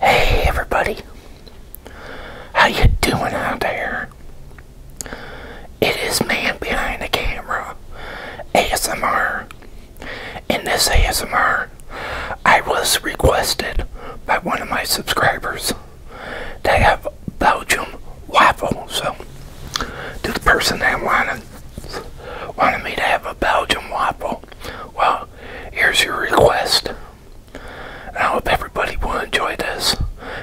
Hey everybody, how you doing out there? It is man behind the camera, ASMR. In this ASMR, I was requested by one of my subscribers They have Belgium waffle. So, to the person that wanted wanted me to have a Belgium waffle, well, here's your request. I hope everybody will enjoy this.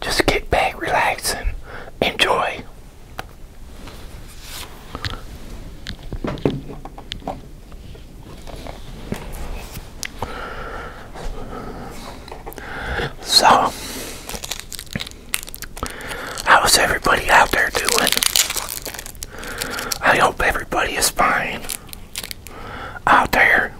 Just get back, relax, and enjoy. So, how's everybody out there doing? I hope everybody is fine out there.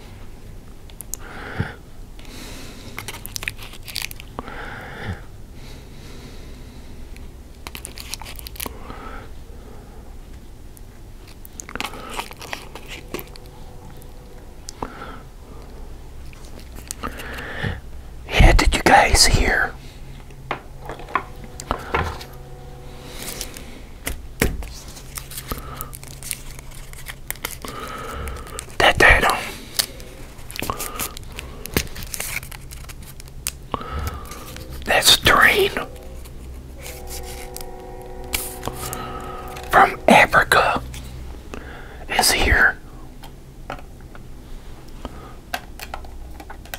Yeah, did you guys hear that that on. That's Drain from Africa is here.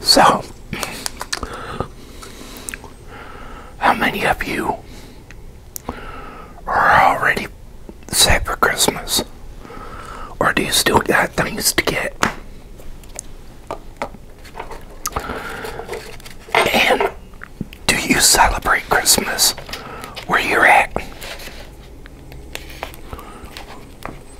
So, how many of you are already set for Christmas? Or do you still got things to get? And do you celebrate Christmas where you're at?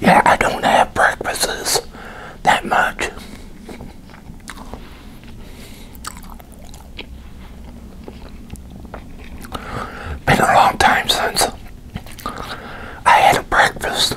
Yeah, I don't have breakfasts that much. Been a long time since I had a breakfast.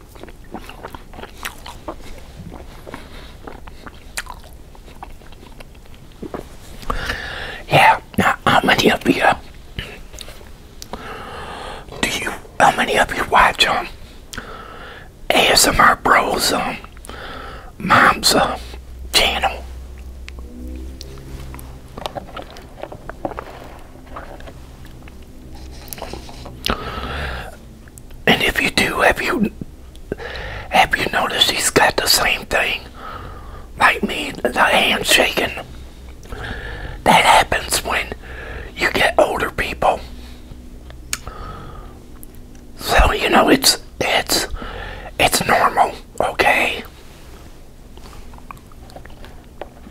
Yeah, now how many of you uh, do you how many of you watch um ASMR Bros um Mom's uh, channel? And if you do, have you have you noticed he's got the same thing like me, the hand shaking? That happens when you get older people. So you know it's it's it's normal, okay?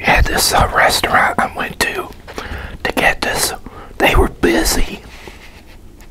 Yeah, this uh, restaurant I went to to get this, they were busy.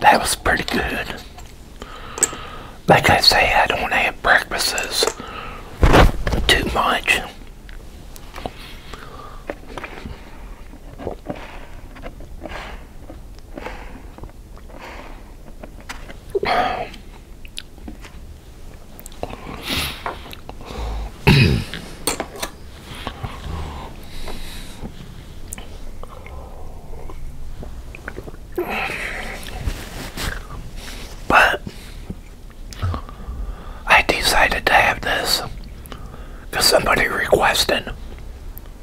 That was pretty good. Like I say, I don't have breakfasts too much but I decided to have this because somebody requested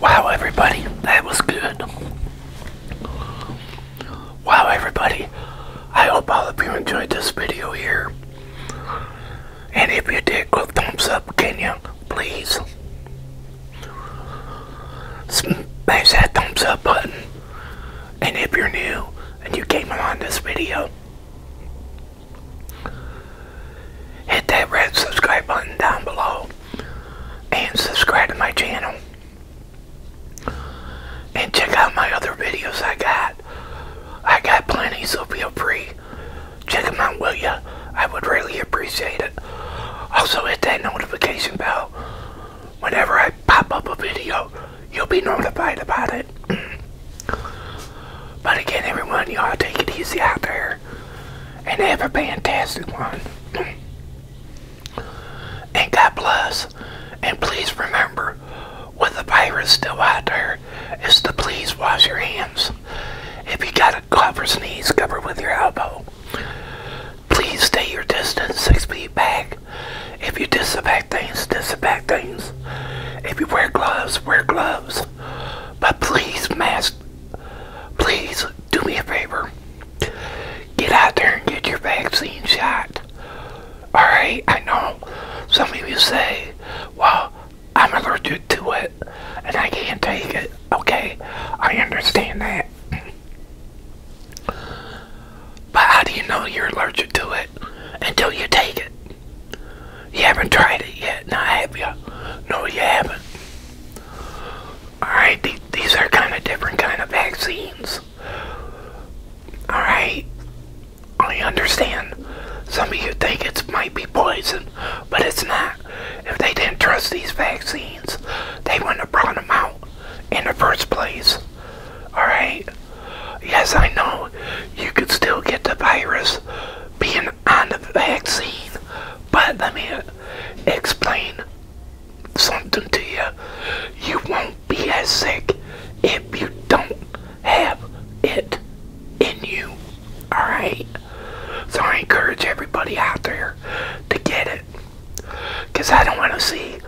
Wow, everybody, that was good. Wow, everybody, I hope all of you enjoyed this video here. And if you did, go thumbs up, Kenya. Please. Smash that thumbs up button. And if you're new and you came along this video, hit that red subscribe button down below and subscribe to my channel. And check out my other videos I got. I got plenty, so feel free. Check them out, will ya? I would really appreciate it. Also, hit that notification bell. Whenever I pop up a video, you'll be notified about it. but again, everyone, y'all take it easy out there. And have a fantastic one. and God bless. And please remember, with the virus still out there is to please wash your hands. If you got a cough or sneeze, cover with your elbow. Please stay your distance six feet back. If you disinfect things, disinfect things. If you wear gloves, wear gloves. But please, mask. Please do me a favor. Get out there and get your vaccine shot. Alright, I know some of you say, well, I'm allergic to it and I can't take it. Okay, I understand that. But how do you know you're allergic to it until you take it? You haven't tried it yet, now have you? No, you haven't. Alright, these are kind of different kind of vaccines. Alright? I understand some of you think it might be poison, but it's not. If they didn't trust these vaccines, they wouldn't have brought them out in the first place. Alright? Yes, I know you could still get the virus being on the vaccine, but let me explain something to you. You won't be as sick if you don't have it in you. Alright? So I encourage everybody out there to get it. Because I don't want to see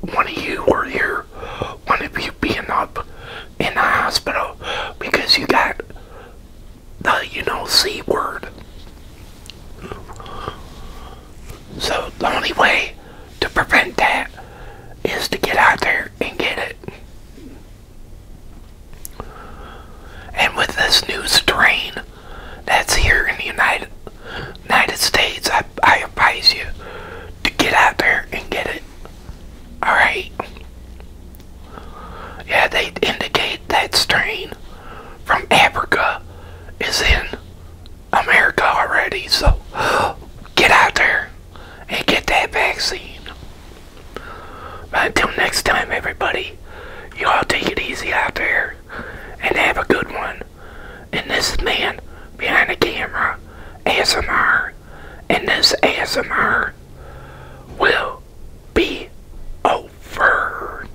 one of you or your one of you being up in the hospital because you got the, you know, C word. So the only way to prevent that is to get out there and get it. And with this new strain that's here in the United United States, I, I advise you to get out there and get it. Alright? Yeah, they indicate that strain from Africa is in America already, so get out there and get that vaccine. But until next time, everybody, you all take it easy out there and have a good one. And this man behind the camera, ASMR, and this ASMR will be over.